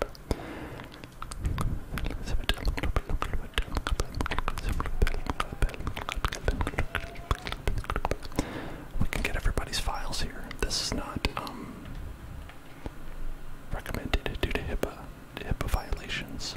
We can get everybody's files here. This is not um, recommended due to HIPAA violations.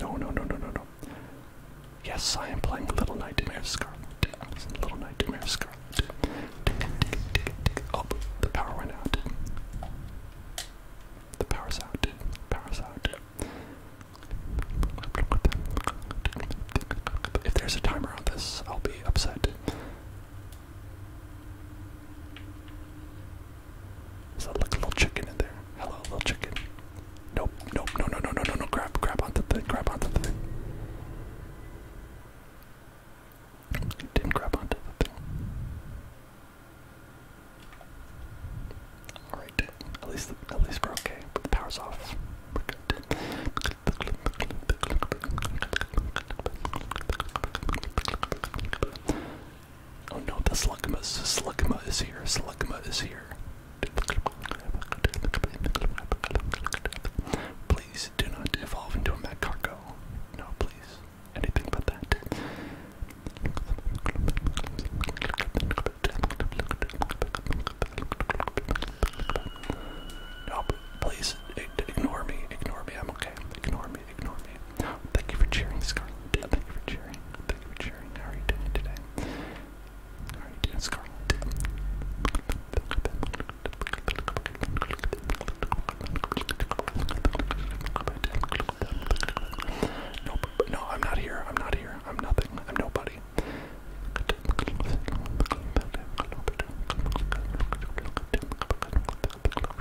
No, no, no, no, no, no. Yes, I am playing Little Nightmare Scarlet. Little Nightmare Scarlet. Oh, the power went out. The power's out. power's out. If there's a timer on this, I'll be upset. Is that like a little chicken in there? Hello, little chicken. Nope, nope, no, no, no, no, no, no. Grab, grab onto the thing, grab onto the thing. You didn't grab onto the thing. All right, at least the, at least we're okay. But the power's off. We're good. Oh no, the Slugma, Slugma is here, Slugma is here. Please do not evolve into a Magcargo. No, please. Anything but that. No, please ignore me. Ignore me. I'm okay. Ignore me ignore me. Thank you for cheering, Scarlet. Thank you for cheering. Thank you for cheering. How are you doing today? How are you doing, Scarlet? Nope. No, I'm not here. I'm not here. I'm nothing. I'm nobody.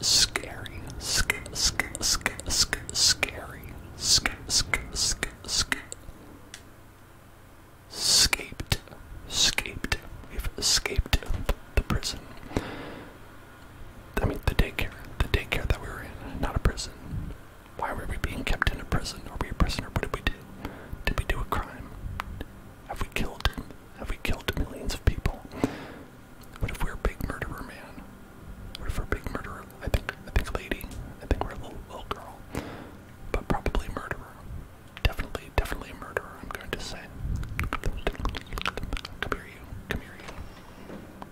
scary, sc sc sc sc scary, sc sc sc sc. Escaped, escaped. We've escaped the prison. I mean, the daycare, the daycare that we were in, not a prison. Why were we being kept in a prison? Are we a prisoner? What did we do? Did we do a crime? Have we killed have we killed millions of people? What if we're a big murderer, man? What if we're a big murderer? I think, I think lady. I think we're a little, girl. But probably murderer. Definitely, definitely a murderer, I'm going to say. Come here, you. Come here, you.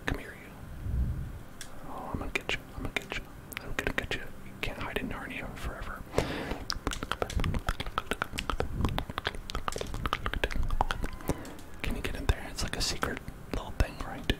Come here, you. Oh, I'm gonna get you. I'm gonna get you. I'm gonna get you. You can't hide in Narnia forever. Can you get in there? It's like a secret little thing, right?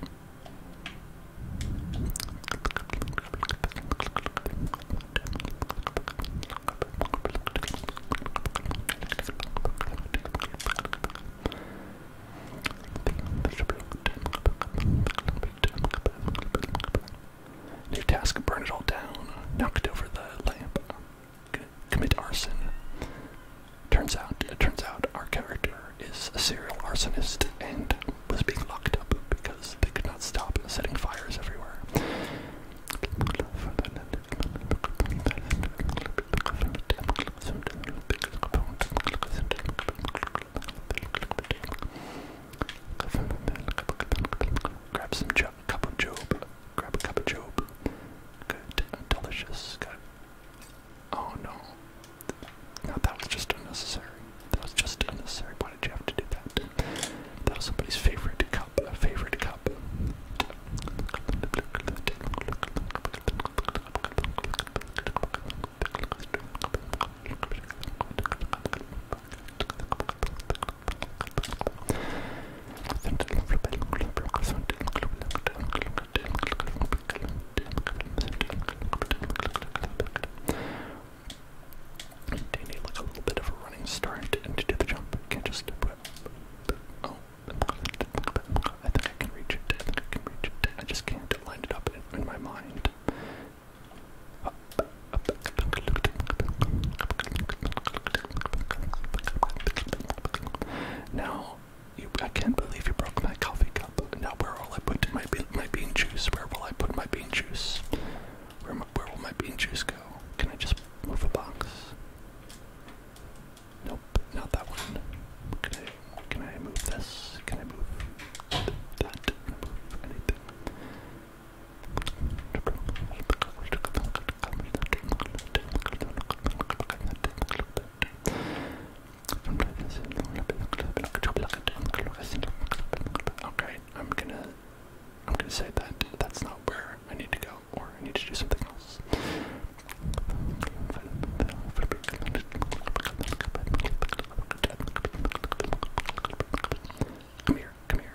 New task burn it all down. Knock over the lamp commit arson. Turns out, it turns out our character is a serial arsonist and was being locked up because they could not stop setting fires everywhere cup of Job. Grab a cup of Job. Good and delicious. Good. Oh no. No, that was just unnecessary. That was just unnecessary. Why did you have to do that? That was somebody's favorite cup. A favorite cup. Do you need like a little bit of a running start and to do the jump? I can't just oh I think I can reach it. I think I can reach it. I just can't line it up in, in my mind. Up, up, now, I can't believe you broke my coffee cup. Now, where will I put my my bean juice? Where will I put my bean juice? Where where will my bean juice go? Can I just move a box? Nope, not that one. Can I can I move this? Can I move that? Can I move anything? Okay, I'm gonna I'm gonna say that that's not where I need to go, or I need to do something else. Come here, come here.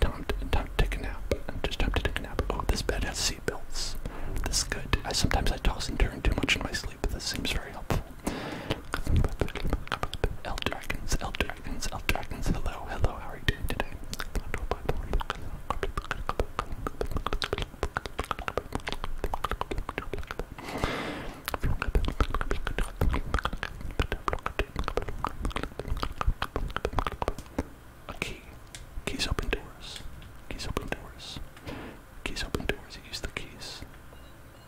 Time to, time to take a nap. Just time to take a nap. Oh, this bed has seat belts. This is good. I sometimes I toss and turn too much in my sleep, but this seems very helpful. El Dragons, El Dragons, El Dragons, hello, hello, how are you doing today? A Keys open doors. Keys open doors. Keys open doors. use the keys.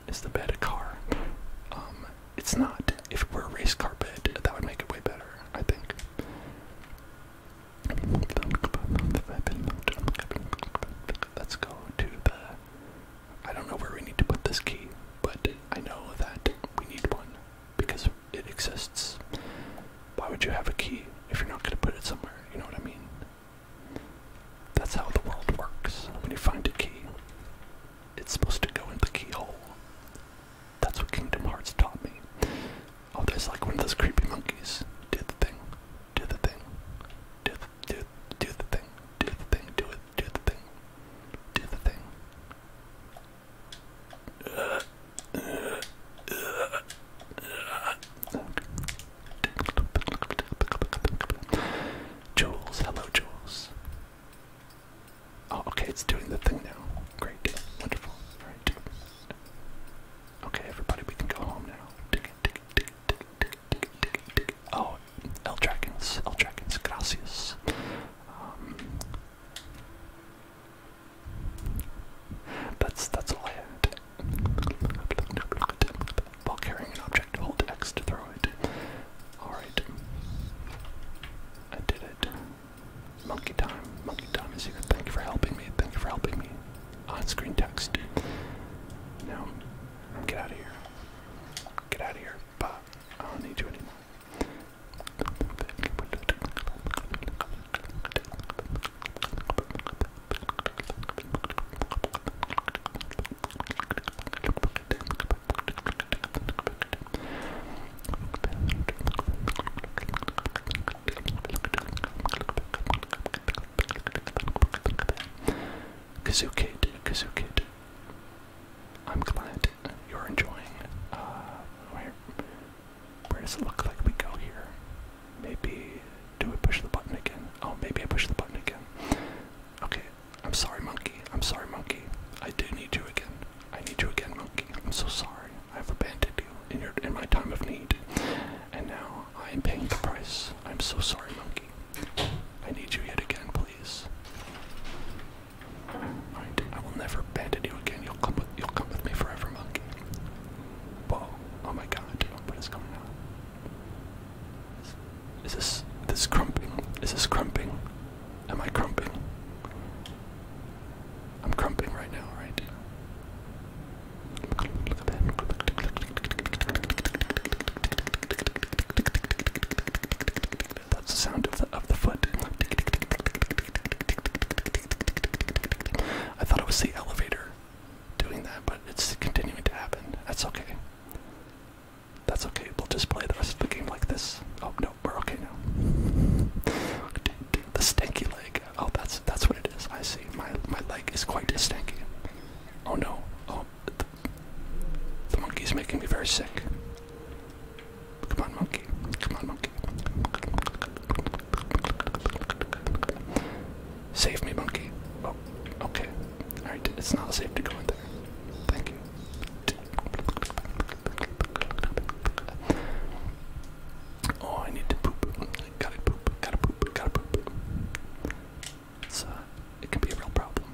Is the bed a car? Um, it's not. If it were a race car bed, that would make it way better, I think. Let's go to the. I don't know where we need to put this key but I know that we need one because it exists. Why would you have a key if you're not going to put it somewhere? You know what I mean? That's how the world works. When you find a key, it's supposed to go in the keyhole. That's what Kingdom Hearts taught me. Oh, there's like one of those creepy monkeys. Do the thing. Do the thing. Do the, do, do the thing. Do the thing. Do it. Do the thing. Do the thing. Jules, hello, Jules. Oh, okay, it's doing the thing now. Great, wonderful. All right. Okay, everybody, we can go home now. Oh, L Dragons, L Dragons, gracias. Um, that's that's all I had. While carrying an object, hold X to throw it. Alright. I did it. Monkey time. Monkey time is here. Thank you for helping me. Thank you for helping me. On screen text. Now, get out of here. Get out of here but I don't need you anymore. Kazoo Kid, I'm glad you're enjoying. Uh, where, where does it look like we go here? Maybe do we push the button again? Oh, maybe I push the button again. Okay, I'm sorry, monkey. I'm sorry, monkey. I do need you again. I need you again, monkey. I'm so sorry. I've abandoned you in your in my time of need, and now I am paying the price. I'm so sorry, monkey. I need you yet again, please. Right, I will never abandon you again. You'll come with you'll come with me forever, monkey. Whoa, oh my god, what is going on? Is, this this crumping? Is this crumping? Am I crumping? I'm crumping right now, right? That's the sound of the foot. I thought it was the elevator doing that, but it's continuing to happen. That's okay. That's okay. We'll just play the rest of the game like this. Oh no, we're okay now. The stinky leg. Oh, that's that's what it is. I see. My my leg is quite stanky. Oh no. Oh, the monkey's making me very sick. Come on, monkey. Come on, monkey. Save me, monkey. Oh, okay. Alright, it's not safe to go in there. Thank you. Oh, I need to poop. Gotta poop, gotta poop, gotta poop. let it can be a real problem.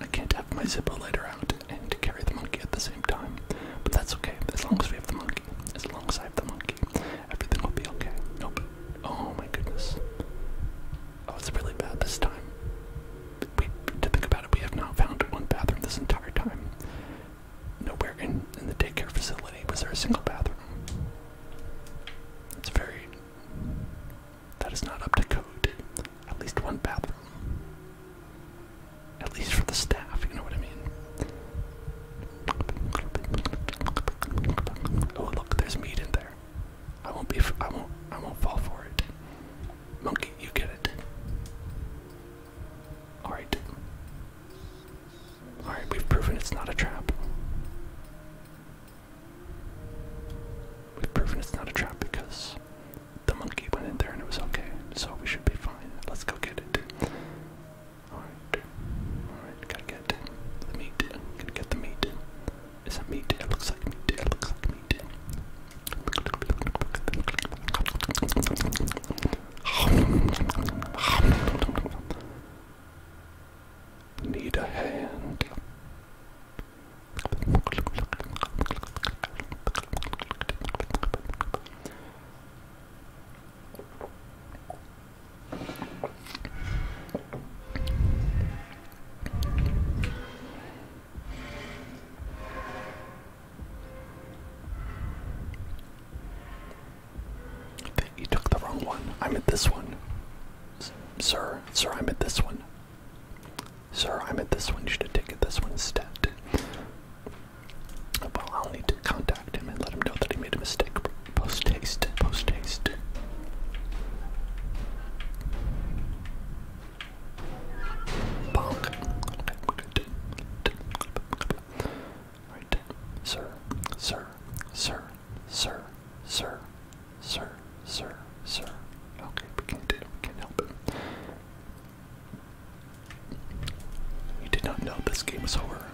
I can't have my Zippo lighter out and carry the monkey at the same time, but that's okay. As long as we have the monkey, as long as I have the monkey, everything will be okay. Nope. Oh my goodness. Oh, it's really bad this time. We, to think about it, we have not found one bathroom this entire time. Nowhere in, in the daycare facility was there a single bathroom. It's very that is not up to code. At least one bathroom. At least for the staff, you know what I mean? Oh look, there's meat in there. I won't be f I won't I won't fall for it. Monkey, you get it. Alright. Alright, we've proven it's not a trap. We've proven it's not a trap because the monkey went in there and it was okay, so we should be fine. Let's go get it. Alright. Alright, gotta get the meat. Gotta get the meat. Is it meat? It looks like meat. It looks like meat. Need a hand. You took the wrong one. I'm at this one. Sir, sir, I'm at this one. Sir, I'm at this one. You should have taken this one instead. Well, I'll need to contact him and let him know that he made a mistake. Post haste, post haste. Bonk. sir, sir, sir, sir, sir, Sir, sir, sir. Okay, we can't do it. We can't help it. You did not know this game was over.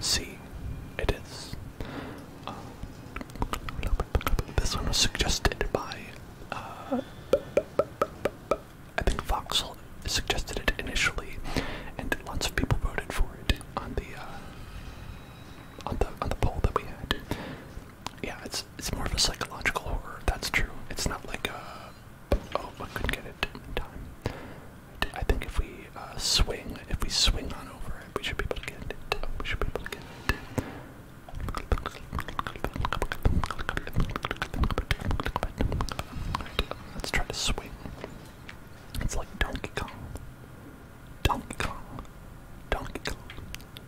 See, it is. Uh, this one was suggested by. Uh, I think Voxel suggested it initially, and lots of people voted for it on the uh, on the on the poll that we had yeah, it's it's more of a psychological horror. That's true. It's not like a oh, I couldn't get it I think if we uh, swing, if we swing on over it, we should be able to get it. we should be able to get it. let's try to swing. It's like Donkey Kong. Donkey Kong. Donkey Kong.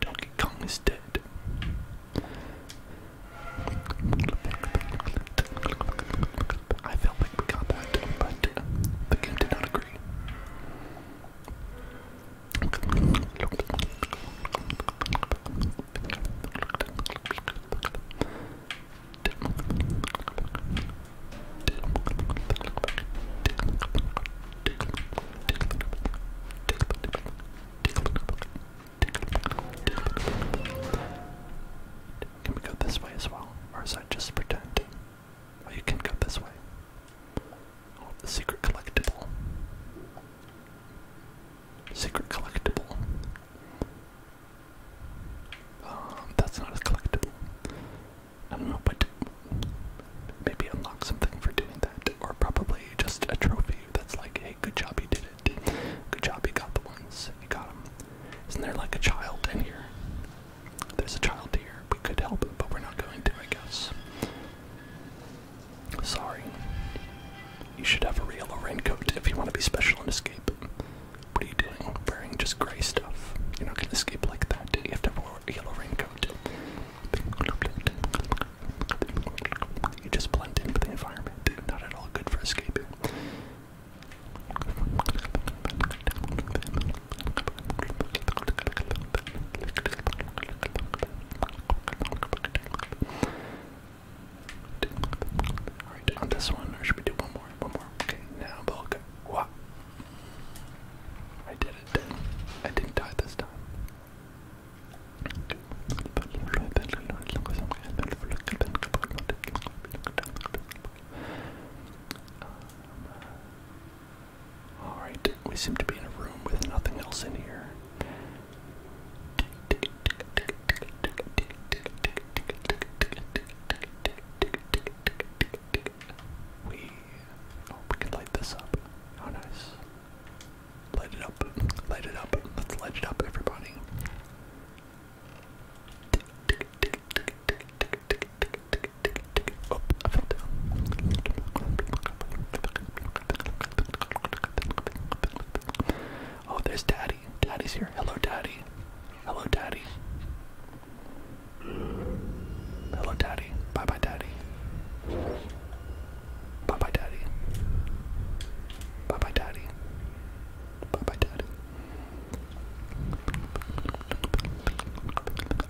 Donkey Kong is dead. I felt like we got that, but the game did not agree. Tickle, tickle, can we go this way as well? Or is that just pretend? Oh, you can go this way. Oh, secret collectible. Secret collectible. Um, that's not a collectible. I don't know, but maybe unlock something for doing that, or probably just a trophy that's like, hey, good job you did it, good job you got the ones, you got them. Isn't there like a child in here? There's a child here. We could help but we're not going to, I guess. Sorry. You should have a real raincoat if you want to be special and escape. What are you doing? Wearing just gray stuff. You're not gonna escape like that. You have to wear a yellow raincoat. You just blend in with the environment. Not at all good for escaping. Alright, on this one, or should we do one more? One more. Okay, now bulk. What? I did it. I didn't die this time. Alright, we seem to be in a room with nothing else in here. We. Oh, we can light this up. How oh, nice. Light it up. Light it up. Let's light it up, everybody. Oh, I fell down. Oh, there's Daddy. Daddy's here. Hello, Daddy. Hello, Daddy. Hello, Daddy. Bye bye, Daddy. Bye bye, daddy. Bye bye, daddy. Bye bye, daddy.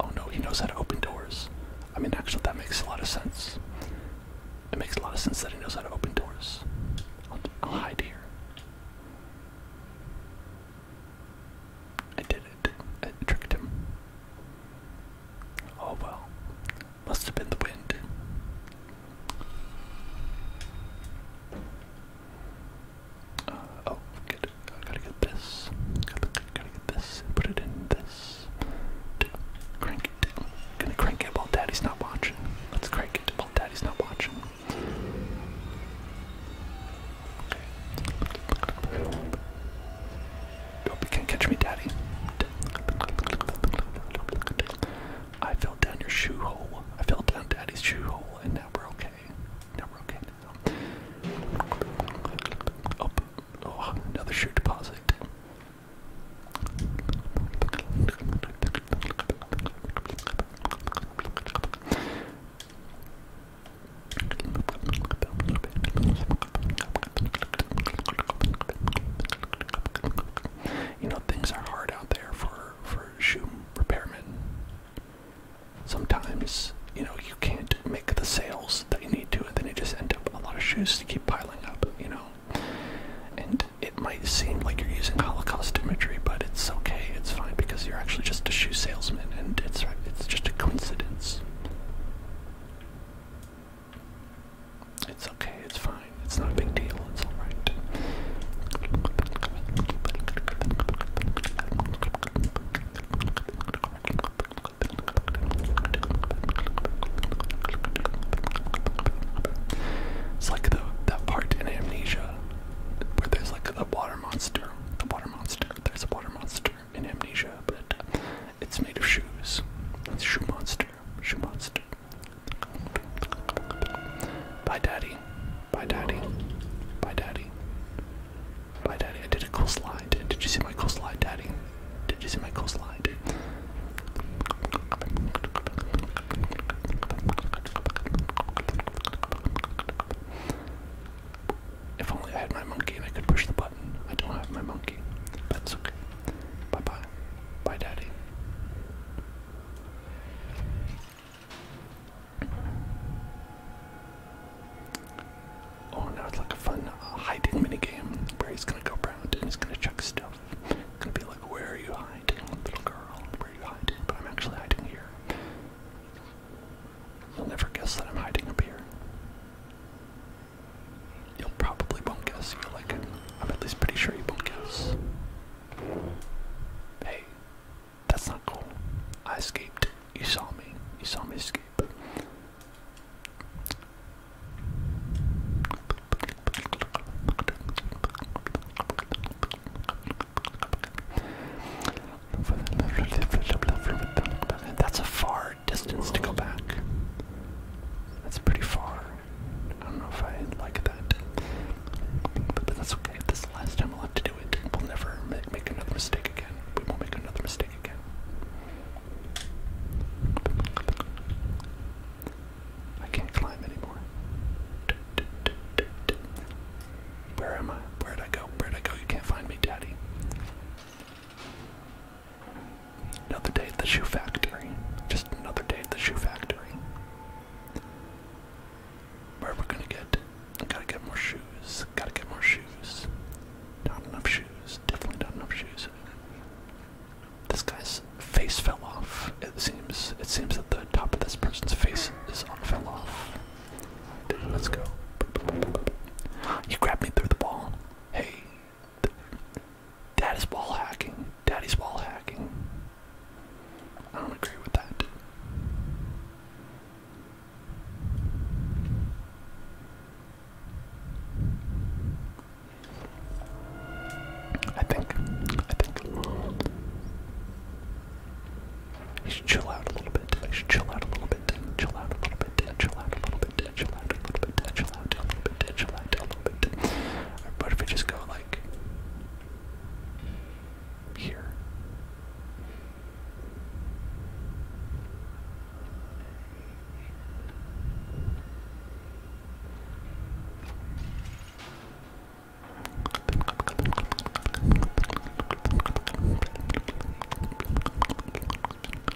Oh no, he knows how to open doors. I mean, actually, that makes a lot of sense. It makes a lot of sense that he knows how to open doors. I'll, hide here. I did it. I tricked him. Oh well. Must have been the wind. Uh, oh, good. I gotta get this. Gotta, gotta get this. Put it in this. Crank it. Gonna crank it while daddy's not watching. Let's crank it while daddy's not watching. Okay. Hope you can catch me, Daddy. I fell down your shoe hole. I fell down Daddy's shoe hole, and now we're okay. Now we're okay now. Oh, oh another shoe deposit. You know, things are hard out there for for shoe repairmen. Sometimes, you know, you can't make the sales that you need to, and then you just end up a lot of shoes to keep piling up, you know. And it might seem like you're using Holocaust imagery, but it's okay, it's fine because you're actually just a shoe salesman, and it's it's just a coincidence. It's okay, it's fine, it's not a big deal, it's alright. It's like the that part in Amnesia where there's like the water monster. The water monster. There's a water monster in Amnesia, but it's made of shoes. It's Shoe Monster. Shoe Monster. Bye, Daddy. Bye, Daddy. Bye, Daddy. Bye, Daddy. I did a cool slide. Did you see my cool slide, Daddy? Did you see my cool slide? If only I had my monkey and I could push the button. I don't have my monkey. But it's okay. Bye bye. Bye, Daddy. Oh, now it's like a fun uh, hiding minigame where he's gonna go around and he's gonna check stuff. gonna be like, Where are you hiding, little girl? Where are you hiding? But I'm actually hiding here. You'll never guess that I'm hiding up here. You'll probably won't guess. You'll like, I'm at least pretty sure you won't guess. Hey, that's not cool. I escaped. You saw me. You saw me escape. That's a far distance to go back. That's pretty far. I don't know if I like that. But, that's okay. This last time we'll have to do it. We'll never make, another mistake again. We won't make another mistake again. I can't climb anymore. Where am I? where did I go? where did I go? You can't find me, Daddy. Another day at the shoe factory. Just another day at the shoe factory. Where we gonna get? gotta get more shoes. Gotta get more shoes. Not enough shoes. Definitely not enough shoes. This guy's face fell off. It seems. It seems that the top of this person's face is on fell off. Let's go. You grabbed me through the ball. Hey, Daddy's wall hacking. Daddy's wall hacking. I don't agree with that. I think. I think. You should chill out a little bit. I should chill out a little bit. Chill out a little bit. Chill out a little bit potential out, a little potential out, a little potential out, a little bit. Or if we just go like here?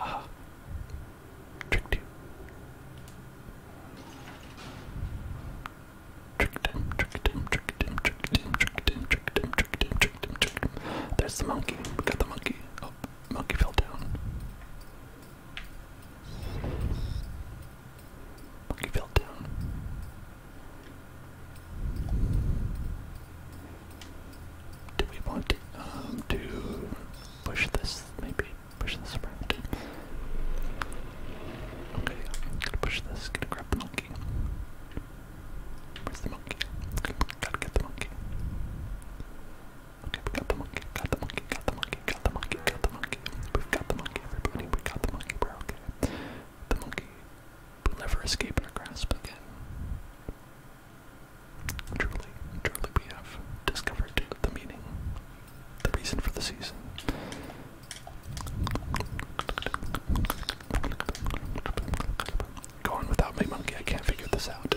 Aha. Tricked you. Tricked him, tricked him, tricked him, tricked him, tricked him, tricked him, tricked him, tricked him, tricked him. There's the monkey. got the monkey. Oh, monkey fell down. Monkey fell down. Do we want to um, push this, maybe? Push this around. Okay, I'm gonna push this, gonna grab the monkey. Where's the monkey? Gotta get the monkey. Okay, we got the monkey, got the monkey, got the monkey, got the monkey, got the monkey. We've got the monkey, everybody, we got the monkey, we're okay. The monkey will never escape our grasp again. Truly, truly, we have discovered the meaning, the reason for the season. Go on without my monkey, I can't figure this out.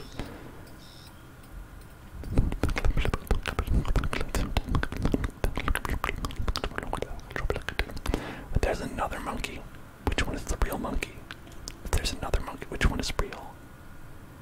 there's another monkey. Which one is the real monkey? If there's another monkey, which one is real?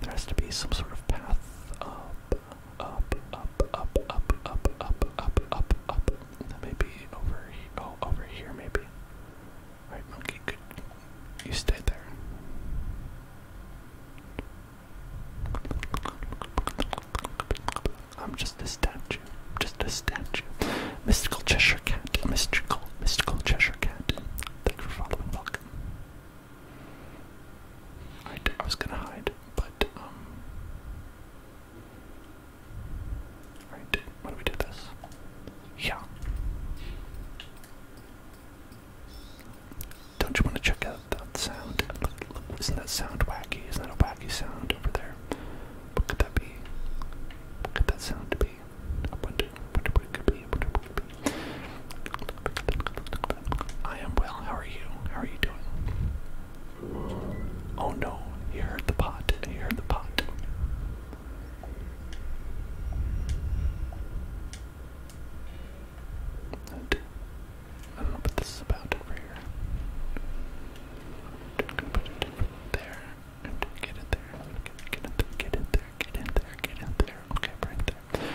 there has to be some sort of path up, up, up, up, up, up, up, up, up, up. That may be over here. Oh, over here, maybe. Alright, monkey, good. You stay there. I'm just a statue. I'm Just a statue. Mystical Cheshire Cat. Mystical, mystical Cheshire Cat. Thanks for following. Welcome. I, I was gonna hide, but um. Alright, why do we do this? Yeah. Don't you want to check out that sound? isn't that sound wacky? Isn't that a wacky sound over there? What could that be? What could that sound be? I what could it be. I am well, how are you? How are you doing? Oh no, you heard the pot, you heard the pot. I don't know what this is about over here over there. And get in there. Get in there. Get in there. Get in there. Get in there. Okay, right there.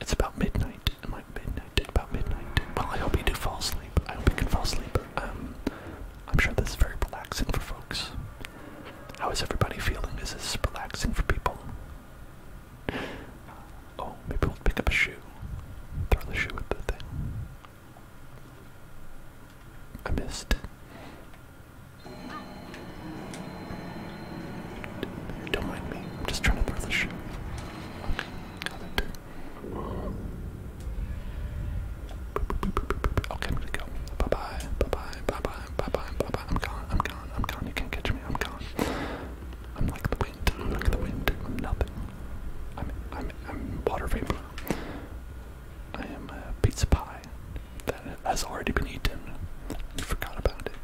It's about midnight. It's I midnight? About midnight. Well, I hope you do fall asleep. I hope you can fall asleep. Um, I'm sure this is very relaxing for folks. How is everybody feeling? Is this relaxing for people? Oh, maybe we'll pick up a shoe. Throw the shoe at the thing. I missed. Don't mind me. I'm just trying to throw the shoe. Okay, got it. Okay, I'm gonna go. Bye bye, bye bye, bye bye, bye bye, bye bye. I'm gone, I'm gone, I'm gone. You can't catch I'm gone. I'm like the wind, I'm the wind, I'm nothing. I'm, I'm, I'm water vapor. I am a pizza pie that has already been eaten. I forgot about it.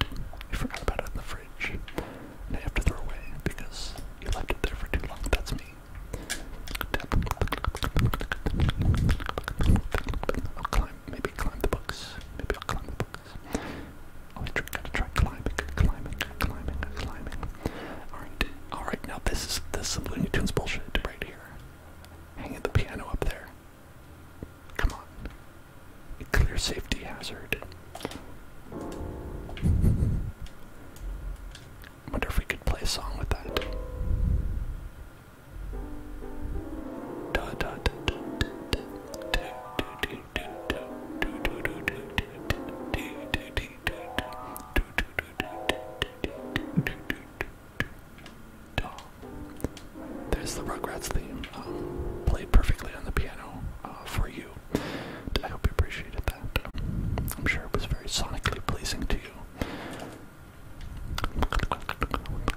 I forgot about it in the fridge. And have to throw away because you left it there for too long. That's me climb. Maybe climb the books. Maybe I'll climb the books. Oh, I gotta try climbing, climbing, climbing, climbing. Alright, alright, now this is this is some Looney Tunes bullshit right here. Hanging the piano up there. Come on. A clear safety hazard. Wonder if we could play a song with that there's the Rugrats theme, um, played perfectly on the piano uh, for you. I hope you appreciated that. I'm sure it was very sonically pleasing to you.